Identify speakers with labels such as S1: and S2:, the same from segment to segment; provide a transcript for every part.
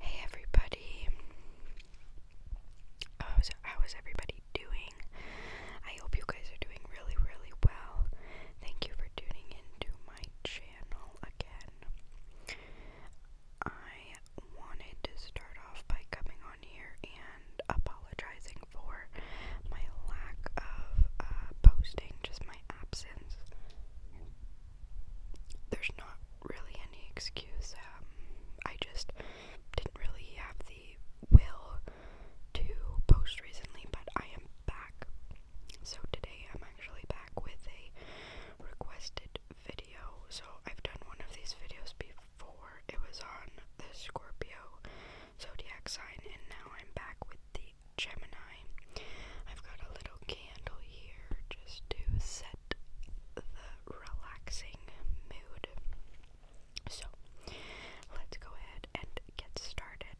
S1: Hey everybody. How is, how is everybody doing? I hope you guys are doing really, really well. Thank you for tuning into my channel again. I wanted to start off by coming on here and apologizing for my lack of uh, posting, just my absence there's not really any excuse. Um, I just didn't really have the will to post recently, but I am back. So today I'm actually back with a requested video. So I've done one of these videos before. It was on the Scorpio zodiac sign, and now I'm back with the Gemini. I've got a little candle here just to set the relaxing mood. So let's go ahead and get started.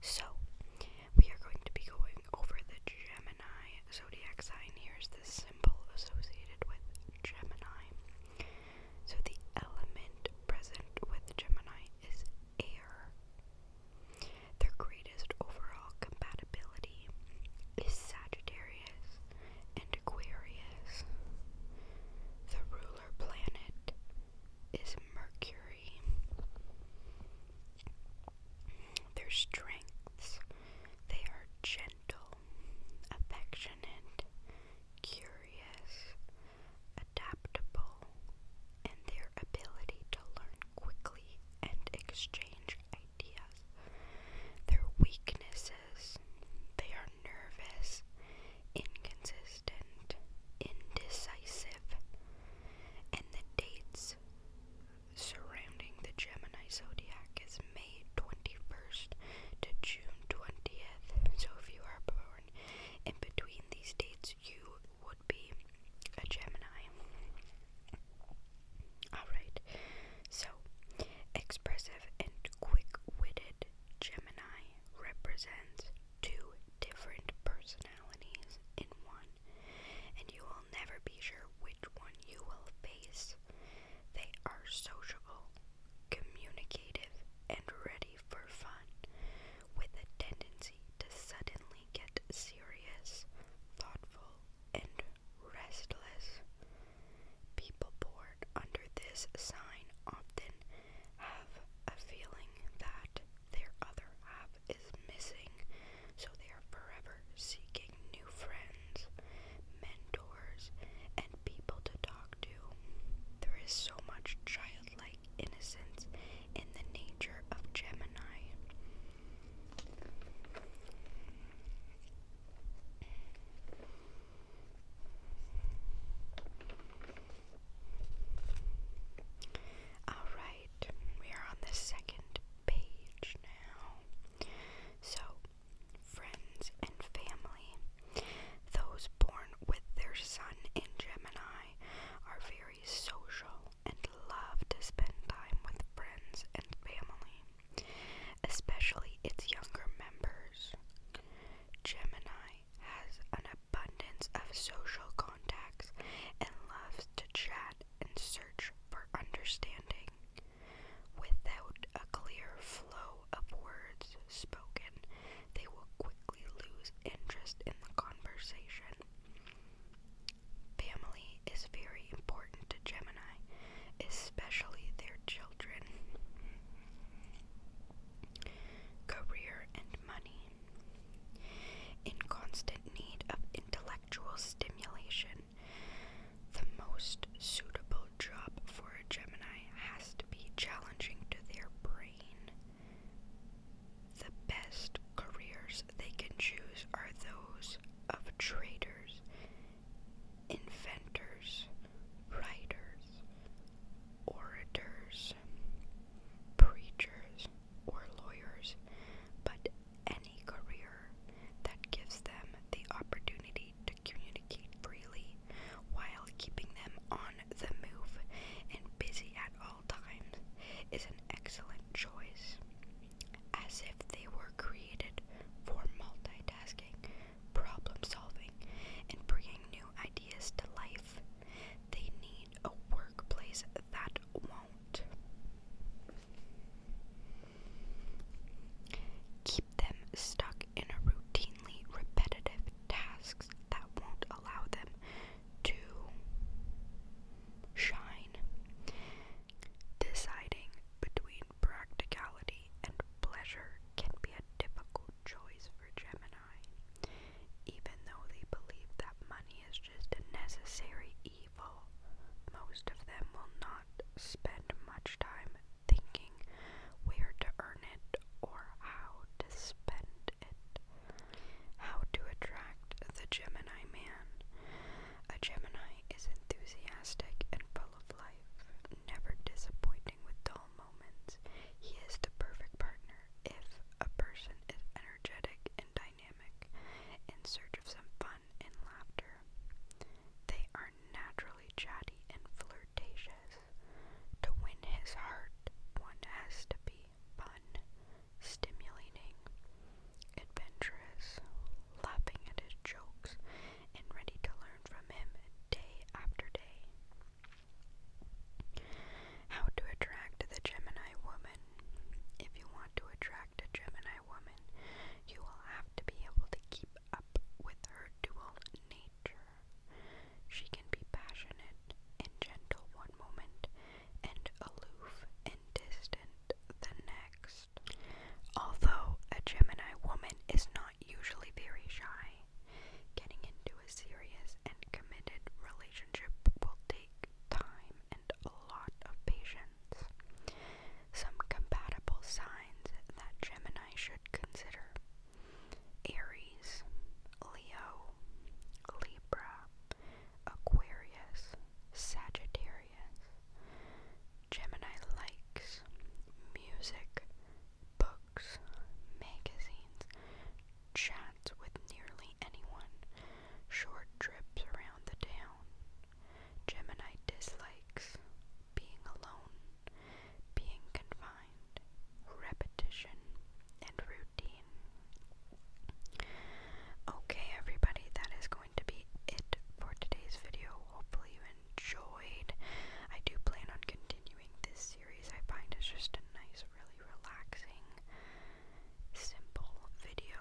S1: So we are going to be going over the Gemini zodiac sign. Here's the symbol associated with Gemini. So the element present with Gemini is air. Their greatest overall compatibility is Sagittarius and Aquarius. The ruler planet is Mercury. Their strengths they are gentle, affectionate, curious, adaptable, and their ability to learn quickly and exchange ideas. Their weaknesses they are nervous, inconsistent, indecisive, and the dates surrounding the Gemini zodiac is May 21st to June 20th. So if you are born in between these dates, you would be a Gemini. Alright, so expressive and quick witted Gemini represents two different personalities in one, and you will never be sure which one you will face. They are sociable, communicative, and ready for fun, with a tendency to suddenly get serious, thoughtful, and restless. People born under this sign often have a feeling that their other half is missing, so they are forever seeking new friends mentors, and people to talk to. There is so much childlike innocence in the nature of Gemini. Alright, we are on the second page now. So, friends, and family. Those born with their sun in Gemini are very social and love to spend time with friends and family, especially its younger members. Gemini has an abundance of social contacts and loves to chat and search for understanding. Without a clear flow of words spoken, they will quickly lose interest in the conversation. Family is very important to Gemini, especially their children. Career and money. In constant need of intellectual stimulation, the most suitable job for a Gemini has to be challenging to their brain. The best careers they can choose are those of traders, inventors, writers, orators, preachers, or lawyers, but any career that gives them the opportunity to communicate freely while keeping them on the move and busy at all times is an excellent choice. As if they were created for multitasking, problem solving, and bringing new ideas to life, they need a workplace that won't. Keep them stuck in a routinely repetitive tasks that won't allow them to shine. Deciding between practicality and pleasure can be a difficult choice for Gemini. Even though they believe that money is just a necessary evil. Most of them will not spend much time thinking where to earn it or how to spend it. How to attract the Gemini man. A Gemini is enthusiastic and full of life, never disappointing with dull moments. He is the perfect partner if a person is energetic and dynamic in search of some fun and laughter. They are naturally chatty and flirtatious. To win his heart, one has to be fun, stimulating, adventurous, laughing at his jokes, and ready to learn from him day after day. How to attract the Gemini woman. If you want to attract a Gemini woman, you will have to be able to keep up with her dual nature. She can be passionate and gentle one moment and aloof and distant the next. Although a Gemini woman is not usually very shy, getting into a serious and committed relationship will take time and a lot of patience. Some compatible signs that Gemini should consider Aries, Leo, Libra, Aquarius, Sagittarius. Gemini likes music, books, magazines, Chat with nearly anyone. Short trips around the town. Gemini dislikes being alone, being confined, repetition, and routine. Okay, everybody, that is going to be it for today's video. Hopefully, you enjoyed. I do plan on continuing this series, I find it's just a nice, really really relaxing, simple video.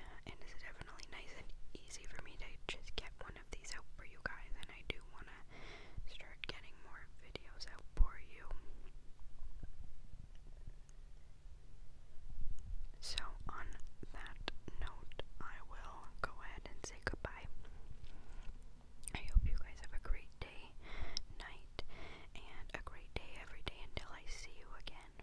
S1: Uh, and it's definitely nice and easy for me to just get one of these out for you guys. And I do want to start getting more videos out for you. So, on that note, I will go ahead and say goodbye. I hope you guys have a great day, night, and a great day every day until I see you again.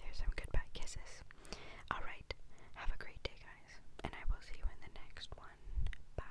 S1: There's some goodbye kisses. Alright, have a great day, guys, and I will see you in the next one. Bye.